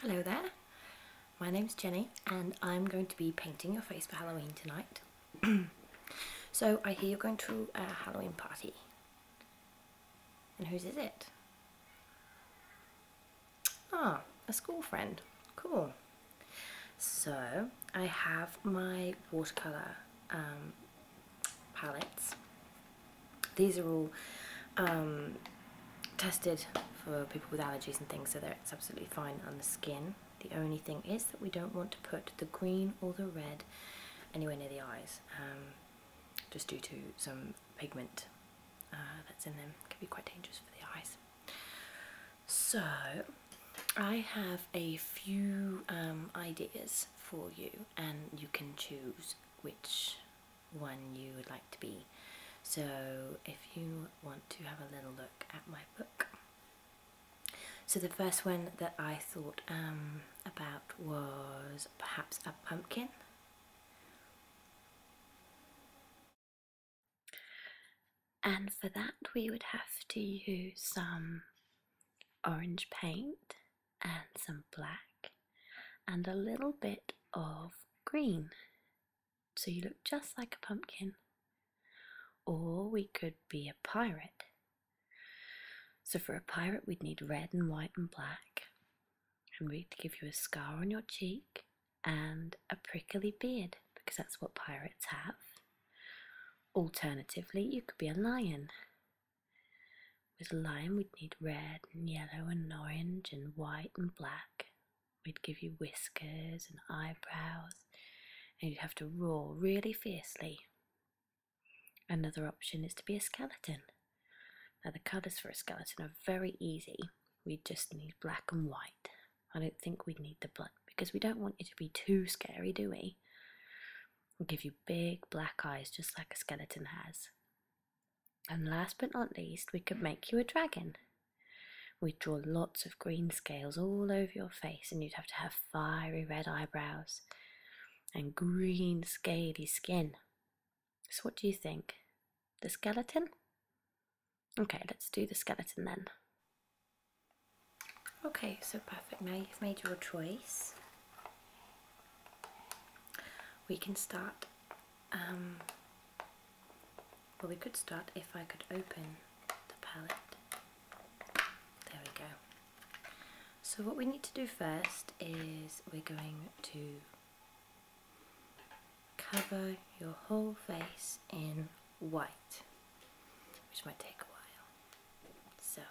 Hello there, my name is Jenny and I'm going to be painting your face for Halloween tonight. so I hear you're going to a Halloween party. And whose is it? Ah, a school friend. Cool. So I have my watercolour um, palettes these are all um, tested for people with allergies and things, so that it's absolutely fine on the skin. The only thing is that we don't want to put the green or the red anywhere near the eyes, um, just due to some pigment uh, that's in them. It can be quite dangerous for the eyes. So, I have a few um, ideas for you, and you can choose which one you would like to be. So if you want to have a little look at my book. So the first one that I thought um, about was perhaps a pumpkin. And for that we would have to use some orange paint and some black and a little bit of green. So you look just like a pumpkin. Or we could be a pirate. So for a pirate, we'd need red and white and black. And we'd give you a scar on your cheek and a prickly beard because that's what pirates have. Alternatively, you could be a lion. With lime, we'd need red and yellow and orange and white and black. We'd give you whiskers and eyebrows, and you'd have to roar really fiercely. Another option is to be a skeleton. Now, the colours for a skeleton are very easy. We just need black and white. I don't think we would need the blood because we don't want you to be too scary, do we? We'll give you big black eyes just like a skeleton has. And last but not least, we could make you a dragon. We'd draw lots of green scales all over your face, and you'd have to have fiery red eyebrows and green, scaly skin. So, what do you think? The skeleton? Okay, let's do the skeleton then. Okay, so perfect. Now you've made your choice. We can start um, well, we could start if I could open the palette. There we go. So what we need to do first is we're going to cover your whole face in white, which might take a while. So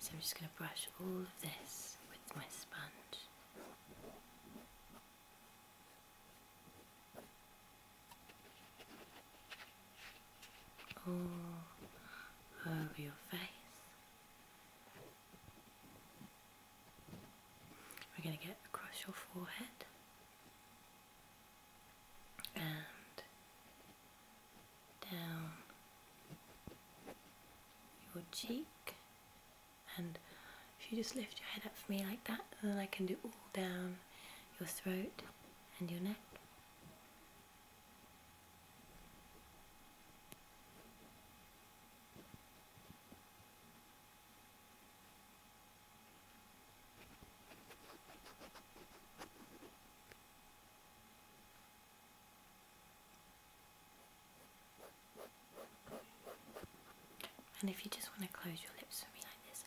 so I'm just going to brush all of this with my sponge. All over your face. We're going to get across your forehead and down your cheek. And if you just lift your head up for me like that, then I can do all down your throat and your neck. And if you just want to close your lips for me like this.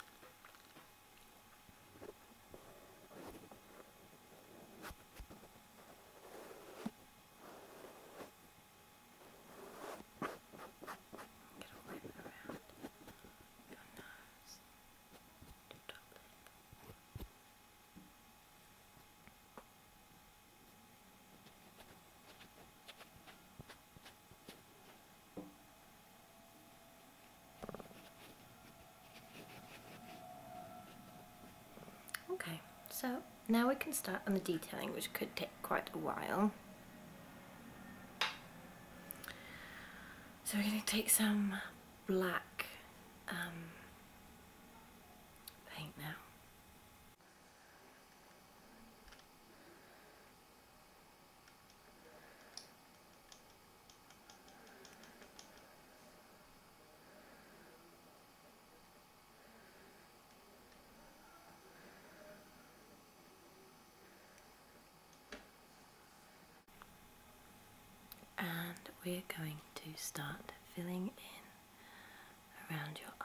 Okay, so now we can start on the detailing, which could take quite a while. So we're going to take some black um, paint now. And we're going to start filling in around your eye.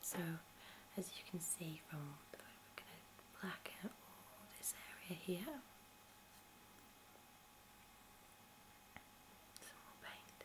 So as you can see from we're going to blacken all this area here, some more paint.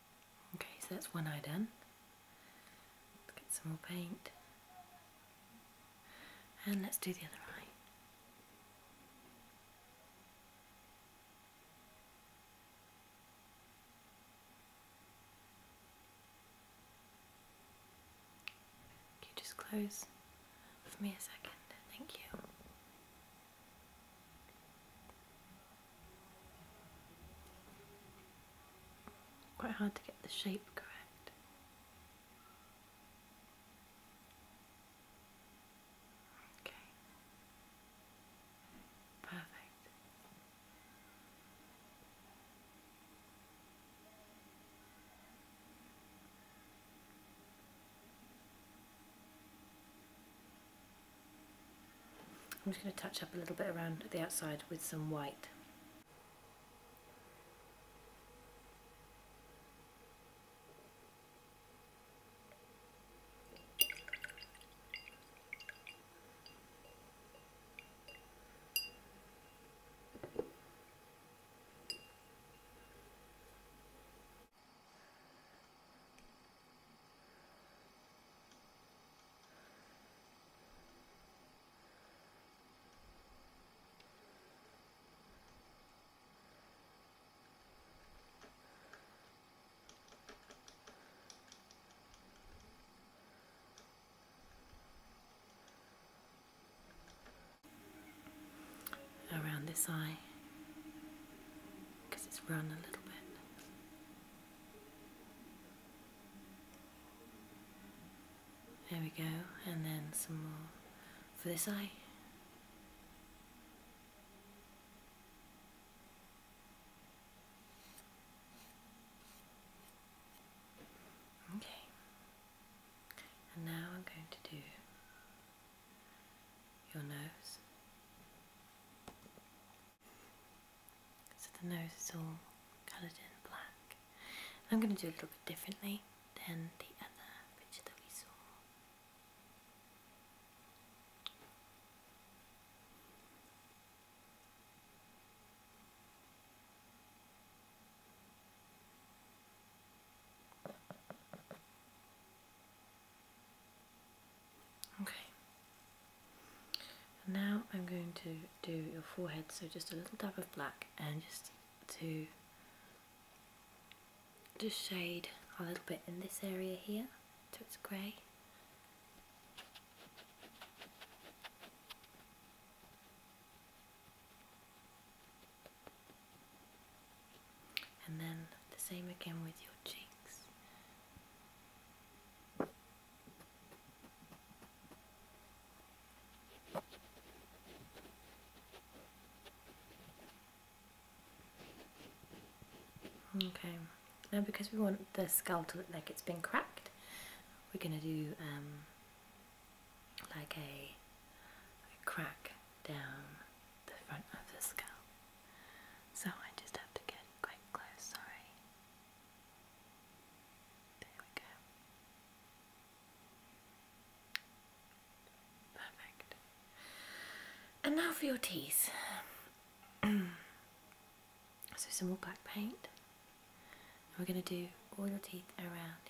Okay, so that's one eye done. Let's get some more paint. And let's do the other eye. Can you just close for me a second? Thank you. Quite hard to get the shape correct. Okay. Perfect. I'm just going to touch up a little bit around the outside with some white around this eye because it's run a little bit there we go, and then some more for this eye. Okay, and now I'm going to do your nose. So the nose is all coloured in black. I'm going to do a little bit differently than the other picture that we saw. Okay. now I'm going to do your forehead, so just a little dab of black and just to just shade a little bit in this area here so it's grey. And then the same again with your cheeks. Okay, now because we want the skull to look like it's been cracked, we're going to do um, like a crack down the front of the skull. So I just have to get quite close, sorry. There we go. Perfect. And now for your teeth. so some more black paint. we're going to do all your teeth around here.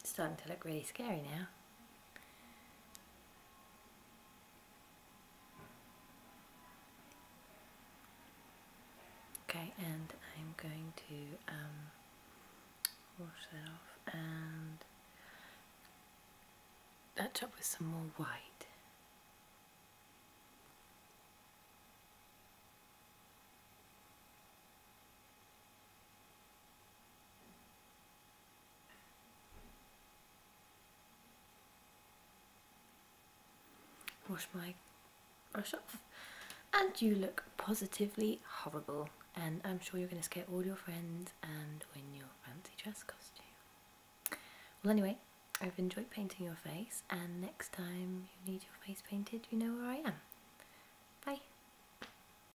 It's starting to look really scary now. Okay, and I'm going to um, wash that off and touch up with some more white. Wash my brush off and you look positively horrible and I'm sure you're going to scare all your friends and win your fancy dress costume. Well anyway, I've enjoyed painting your face and next time you need your face painted you know where I am. Bye!